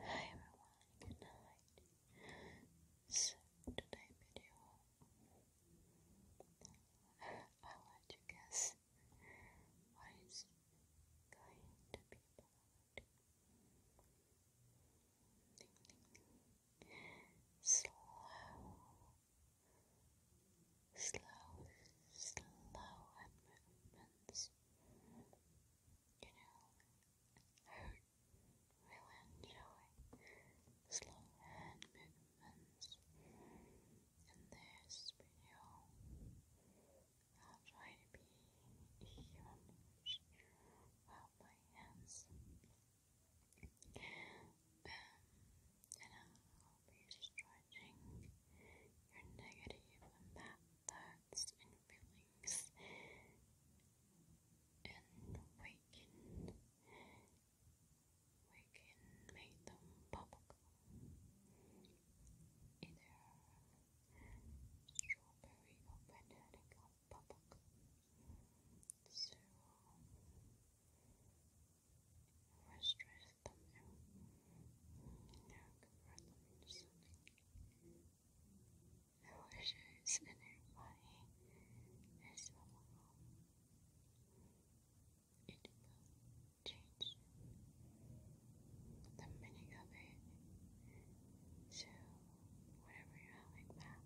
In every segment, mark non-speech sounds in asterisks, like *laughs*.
Hi everyone, good night. So today video I'll let you guess what going to be about. Slow slow slow movements you know, I really enjoy slow hand movements in this video. I'll try to be humorous about my hands. and I'll be discharging your negative and bad thoughts and feelings feelings and we can we can make them bubblegum either strawberry or banana or so I'll them out now convert them into something the wishes in It will change the meaning of it. So, whatever you're having bad,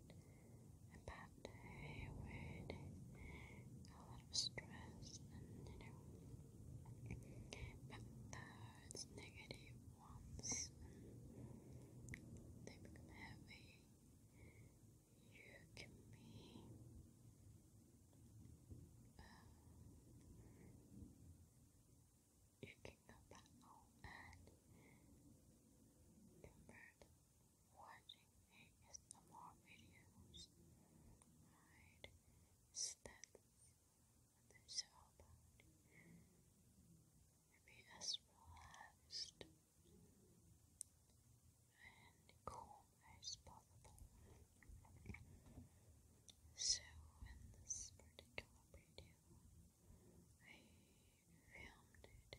a bad day with a lot of stress and you know, but the uh, it's negative ones. They become heavy. You can be uh, you can go back home and compared watching ASMR videos, right? Instead what those are all as and calm as possible. So, in this particular video, I filmed it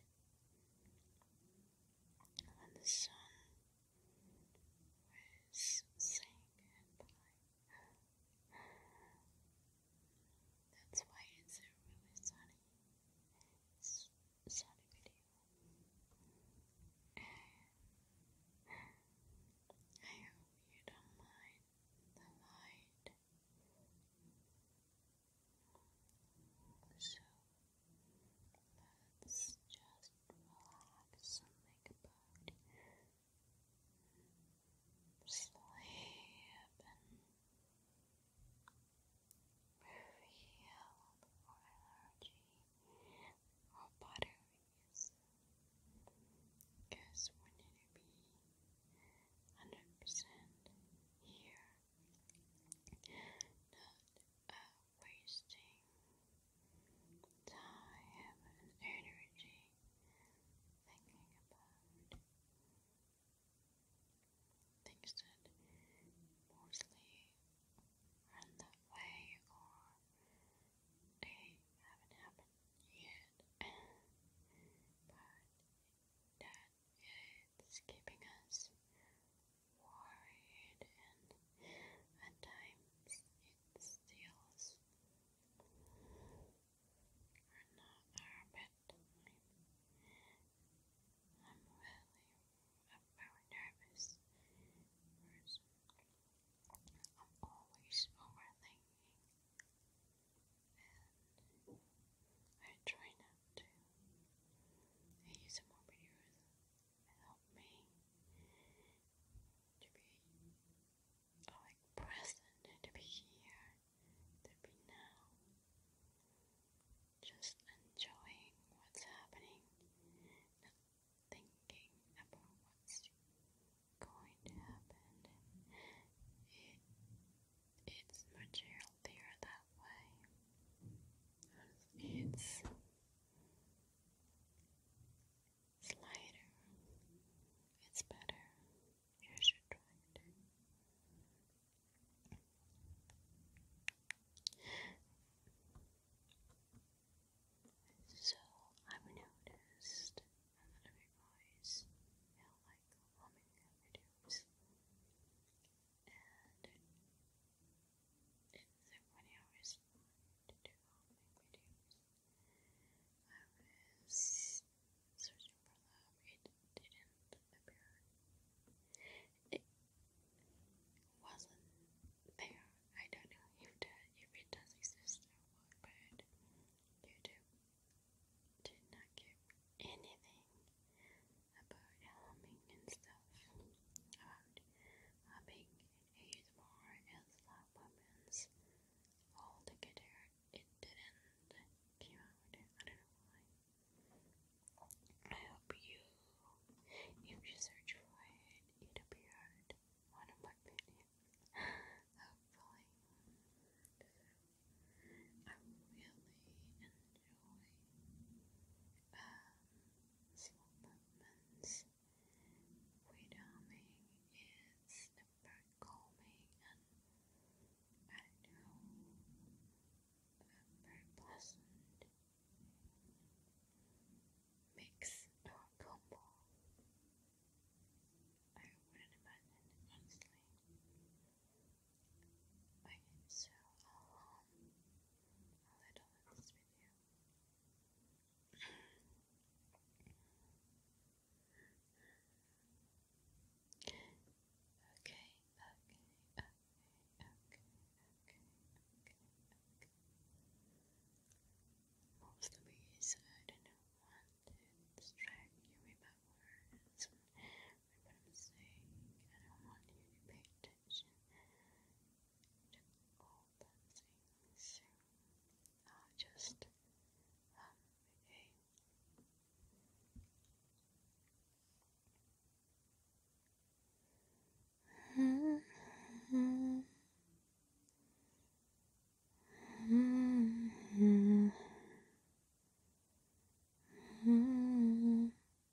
when the sun was saying That's why it's a really sunny, sunny video. I hope you don't mind the light. So let's just relax and think about sleep and feel more energy, more batteries. Because we need to be 100% here, wasting time energy thinking about things that mostly run that way or haven't happened yet, *laughs* but that it's keeping us worried, and at times it steals or not our bedtime. I'm really a very nervous I'm always overthinking, and I try not to. use more videos help me to be present, to be here, to be now. Just enjoying what's happening, not thinking about what's going to happen. it's much healthier that way. It's it's lighter. It's better. You should try it. So I've noticed that of your boys feel like humming videos. It's like to do all my videos. I was searching for love, it didn't appear. It wasn't there. I don't know if it does exist or what, but YouTube did not give anything about humming and stuff, about humming uh, and ASMR and slap weapons all together. It didn't came out. I don't know why. I hope you, you search for it, it appeared one of my videos. *laughs* Hopefully, I really enjoy. Uh, small movements. Weight calming is about calming and very pleasant mix or combo. I wouldn't imagine, honestly. My name um, I'll edit this video. okay, okay, okay, okay, okay, okay, okay. What I didn't want to distract you with words? what I'm saying. I don't want you to pay attention to all the things. So just have uh, a Mm -hmm. -hmm. -hmm.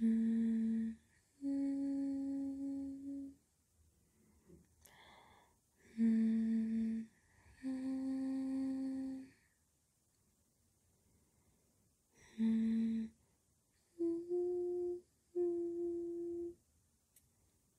Mm -hmm. Mm -hmm. -hmm.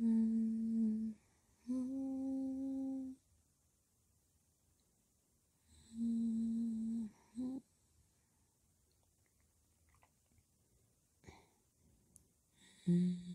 Mm -hmm. -hmm.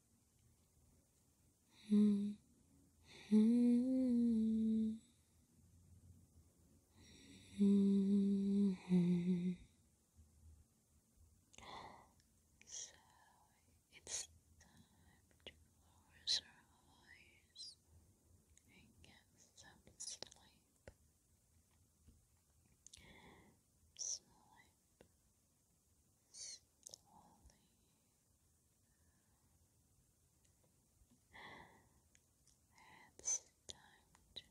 Mm -hmm. So it's time to close our eyes and get some Sleep, sleep, slowly it's time to rest and recharge your batteries. It's bedtime.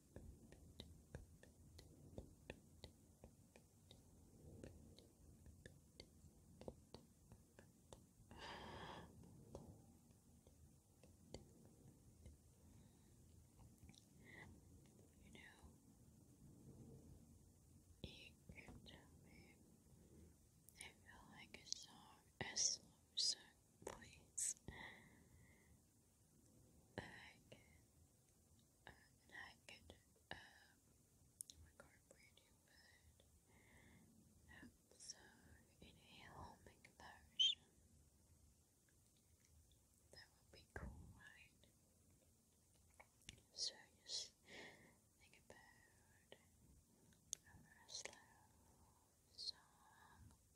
you can tell me I like a song, a slow song, please. I can, I could, um, record radio, but also inhale, make a potion. That would be cool, right? So just think about a slow song um,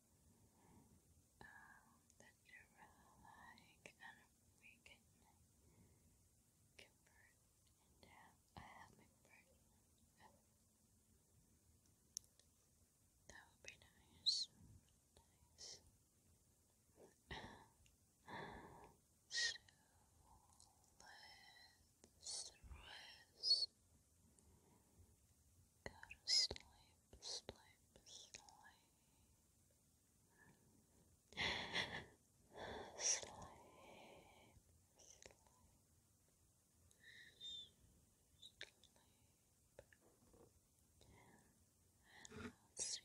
that you really like, and we can convert into. I have my That would be nice. Nice. so let's Go to sleep slime, slime, slime, slime, and I'll see you very, very soon.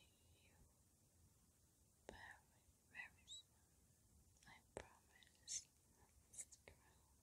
I promise. Stick around.